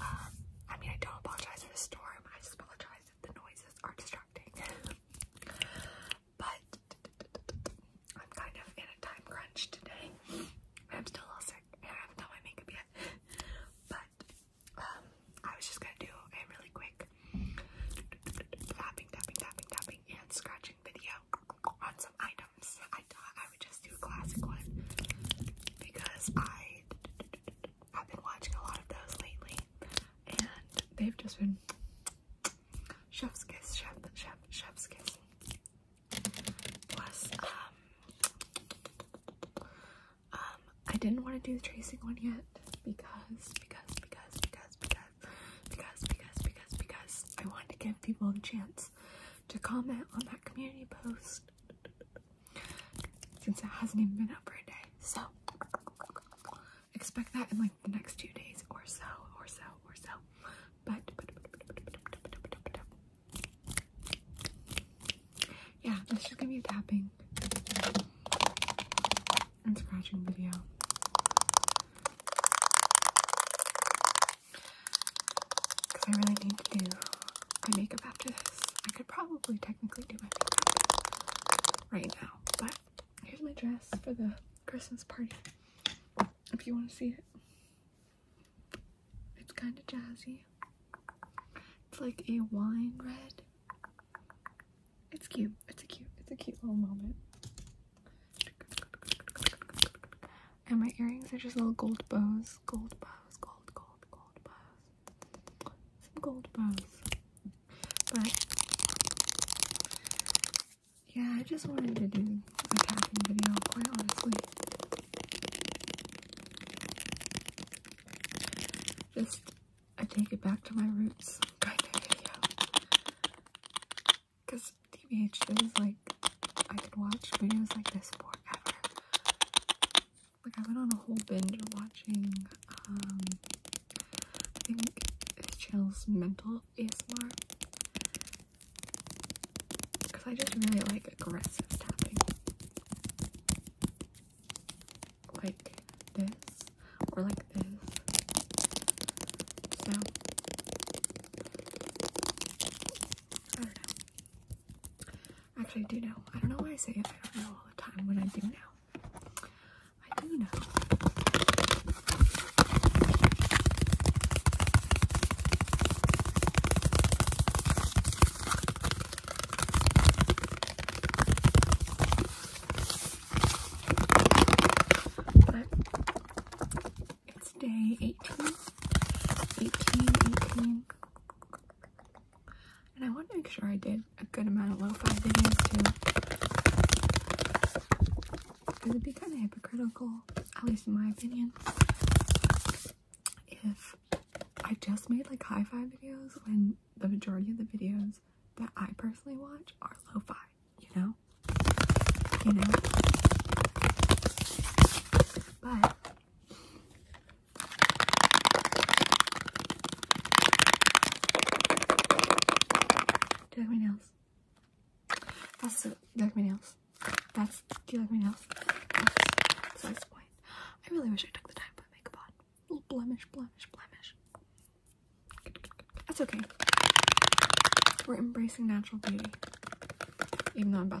Um, I mean, I don't apologize for the storm. I apologize if the noises are distracting. but I'm kind of in a time crunch today. I'm still a little sick I haven't done my makeup yet. But um, I was just gonna do a really quick tapping, tapping, tapping, tapping, and scratching video on some items. I would just do a classic one because I've been watching a lot of those lately, and they've just been chef's kiss, chef, chef, chef's kiss. Plus, um, um, I didn't want to do the tracing one yet because, because, because, because, because, because, because, because, because I wanted to give people the chance to comment on that community post since it hasn't even been out for a day. So expect that in like the next two days or so, or so, or so. But yeah, this is gonna be a tapping and scratching video. Because I really need to do my makeup after this. I could probably technically do my makeup right now. But here's my dress for the Christmas party. If you want to see it. It's kind of jazzy. It's like a wine red. It's cute. It's a cute. It's a cute little moment. And my earrings are just little gold bows. Gold bows, gold, gold, gold bows. Some gold bows. But yeah, I just wanted to do a tapping video, quite honestly. Just I take it back to my roots kind of video. Because TBH, this is like I could watch videos like this forever. Like I went on a whole binge watching um I think his channel's mental ASMR. Cause I just really like aggressive tapping. Like this or like this. I don't know. Actually, I do know. I don't know why I say it. I don't know all the time when I do know. I do know. It's day 18. 18, 18. And I want to make sure I did a good amount of lo-fi videos too. It would be kind of hypocritical, at least in my opinion, if I just made like high fi videos when the majority of the videos that I personally watch are lo-fi, you know? You know? But do you like my nails? That's the, do you like my nails? That's, do you like my nails? That's the I really wish I took the time to put makeup on. little blemish, blemish, blemish. That's okay. We're embracing natural beauty. Even though I'm about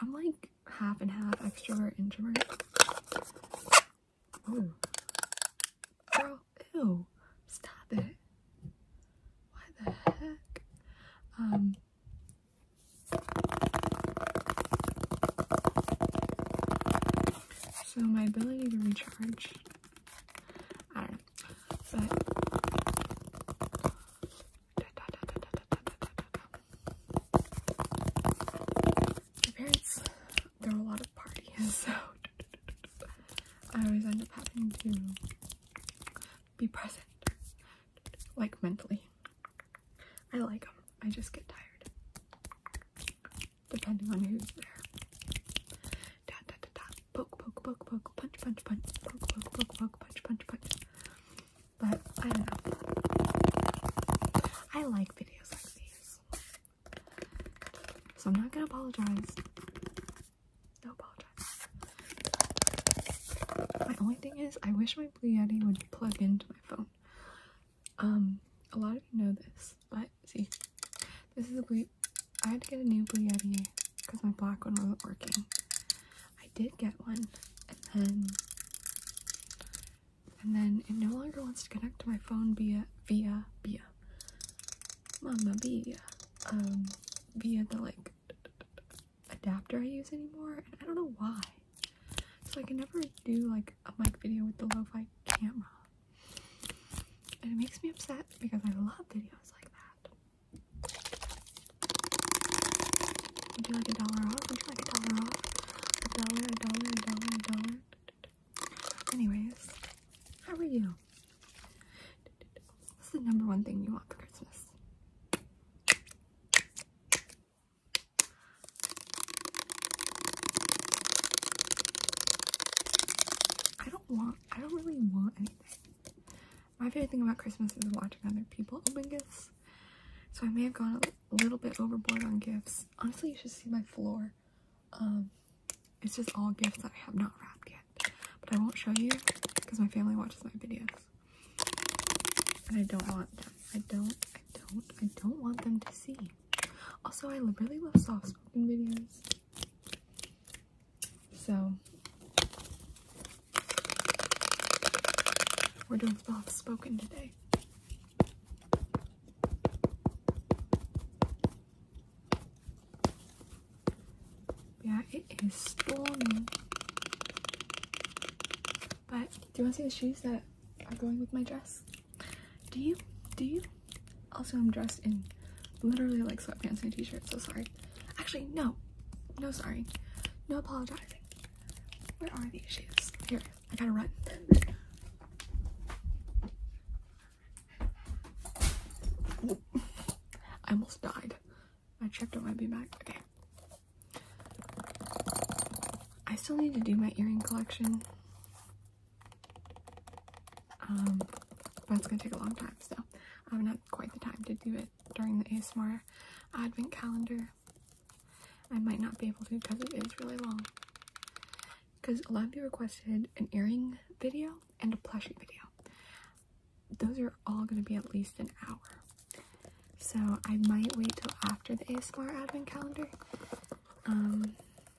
I'm like half and half extrovert introvert. Oh, girl, ew! Stop it! Why the heck? Um. So my ability to recharge, I don't know, but. My parents throw a lot of parties, so I always end up having to be present, like mentally. I like them, I just get tired, depending on who's there. poke, poke, poke, poke, punch, punch, punch, poke, poke, poke, poke, punch, punch, punch. But I don't know. I like videos like these. So I'm not gonna apologize. No apologize. My only thing is I wish my Blue Yeti would plug into my phone. Um, a lot of you know this, but see, this is a Blue I had to get a new Blue Yeti because my black one wasn't working. I did get one and then and then it no longer wants to connect to my phone via via via mama via um via the like adapter I use anymore and I don't know why so I can never do like a mic video with the lo-fi camera and it makes me upset because I love videos like that would you like a dollar off? would you like a dollar off? a dollar, a dollar, a dollar, a dollar. Anyways, how are you? What's the number one thing you want for Christmas? I don't want, I don't really want anything. My favorite thing about Christmas is watching other people open gifts. So I may have gone a little bit overboard on gifts. Honestly, you should see my floor. Um, it's just all gifts that I have not wrapped yet. But I won't show you because my family watches my videos. And I don't want them. I don't, I don't, I don't want them to see. Also, I really love soft spoken videos. So, we're doing soft spoken today. Yeah, it is storming. But do you want to see the shoes that are going with my dress? Do you? Do you? Also, I'm dressed in literally like sweatpants and a t-shirt, so sorry. Actually, no. No sorry. No apologizing. Where are these shoes? Here. I gotta run. I almost died. I My chapter might be back. Okay. I still need to do my earring collection. Um, but it's gonna take a long time, so I haven't had quite the time to do it during the ASMR advent calendar. I might not be able to because it is really long. Because a lot of you requested an earring video and a plushie video. Those are all going to be at least an hour. So I might wait till after the ASMR advent calendar. Um,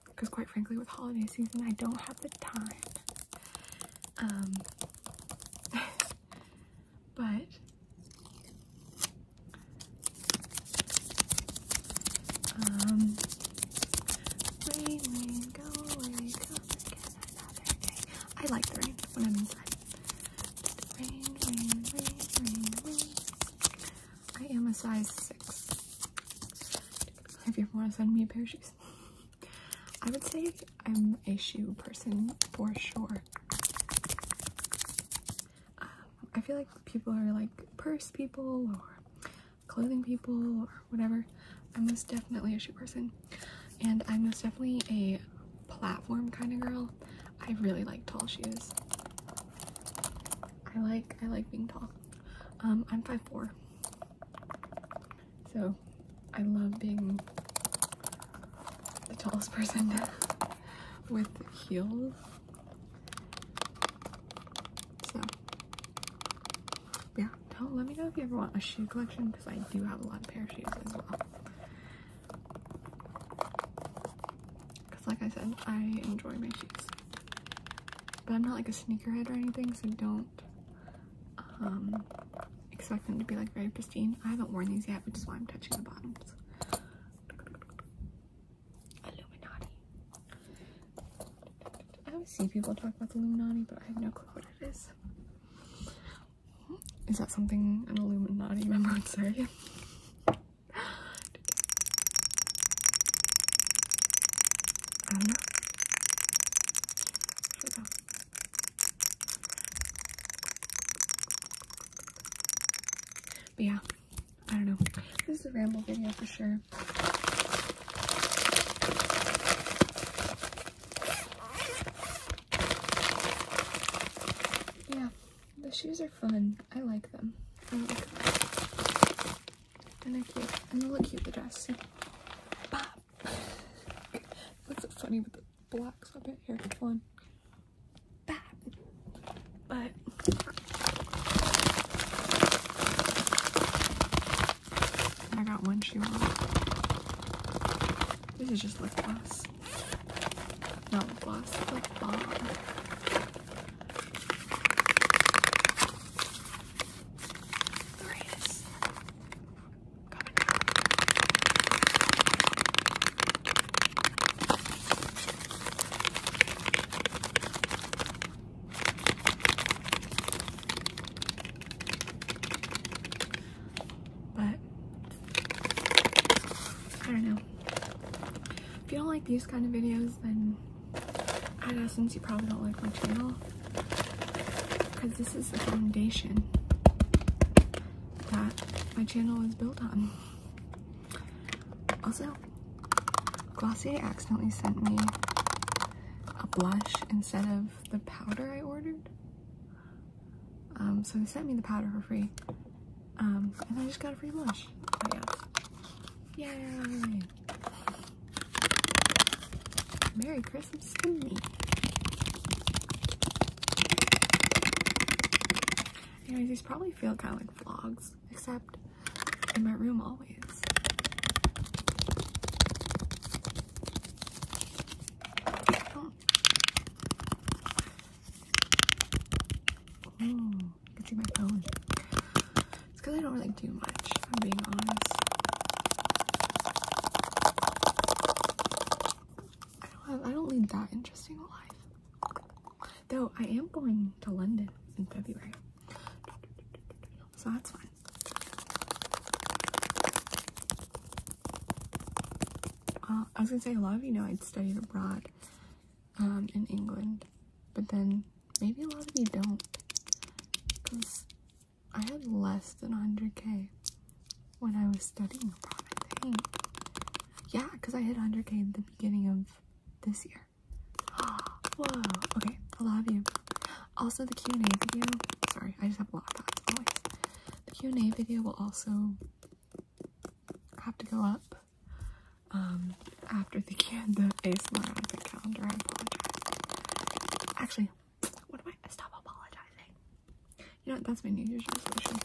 because quite frankly with holiday season I don't have the time. Um, but um, I like the rain when I'm inside. I am a size six. If you ever want to send me a pair of shoes, I would say I'm a shoe person for sure. I feel like people are like purse people or clothing people or whatever. I'm most definitely a shoe person, and I'm most definitely a platform kind of girl. I really like tall shoes. I like I like being tall. Um, I'm five four, so I love being the tallest person with heels so, yeah, don't let me know if you ever want a shoe collection because I do have a lot of pair of shoes as well. Because, like I said, I enjoy my shoes. But I'm not like a sneakerhead or anything, so don't um, expect them to be like very pristine. I haven't worn these yet, which is why I'm touching the bottoms. I always see people talk about the Illuminati, but I have no clue what it is. Is that something an Illuminati member would say? but yeah, I don't know. This is a ramble video for sure. Yeah, the shoes are fun. I like them. And they're cute. And they look cute, the dress. See? so funny with the black sweatpants. Here, hold on. But I got one shoe on. This is just lip gloss. Not lip gloss, lip balm. There but I don't know. If you don't like these kind of videos, then I guess since you probably don't like my channel. Because this is the foundation that my channel is built on. Also, Glossier accidentally sent me a blush instead of the powder I ordered. Um, so they sent me the powder for free. Um, and I just got a free blush. Oh, yeah. Yay! Merry Christmas to me. Anyways, these probably feel kind of like vlogs, except in my room always. Oh. can see my phone. It's because I don't really do much, I'm being honest. I don't, I don't lead that interesting a life. Though I am going to London in February. So that's fun. Uh, I was gonna say, a lot of you know I'd studied abroad um, in England, but then maybe a lot of you don't because I had less than 100k when I was studying abroad, Yeah, because I hit 100k the beginning of this year. Whoa. Okay, I love you. Also, the Q and A video. Sorry, I just have a lot of thoughts The Q and A video will also have to go up um, after the the ASMR advent calendar. I apologize. Actually, what am I stop apologizing? You know That's my New Year's resolution.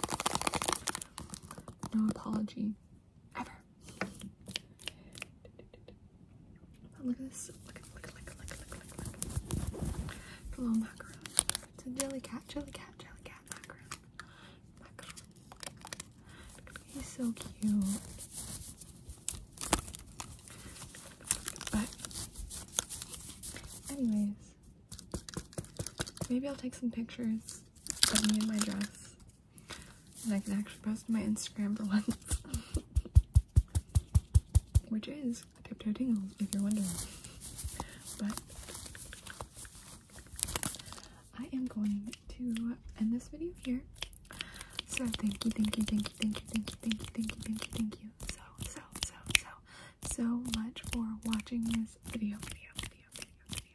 No apology time ever. But look at this. Look at look look look look look look. It's a little macaron. It's a jelly cat, jelly cat, jelly cat macaron. Macaron. He's so cute. But anyways, Maybe I'll take some pictures of me in my dress. And I can actually post to my Instagram for once. Which is tiptoe tingles, if you're wondering. But I am going to end this video here. So thank you, thank you, thank you, thank you, thank you, thank you, thank you, thank you, thank you. So, so, so, so, so much for watching this video, video, video, video, video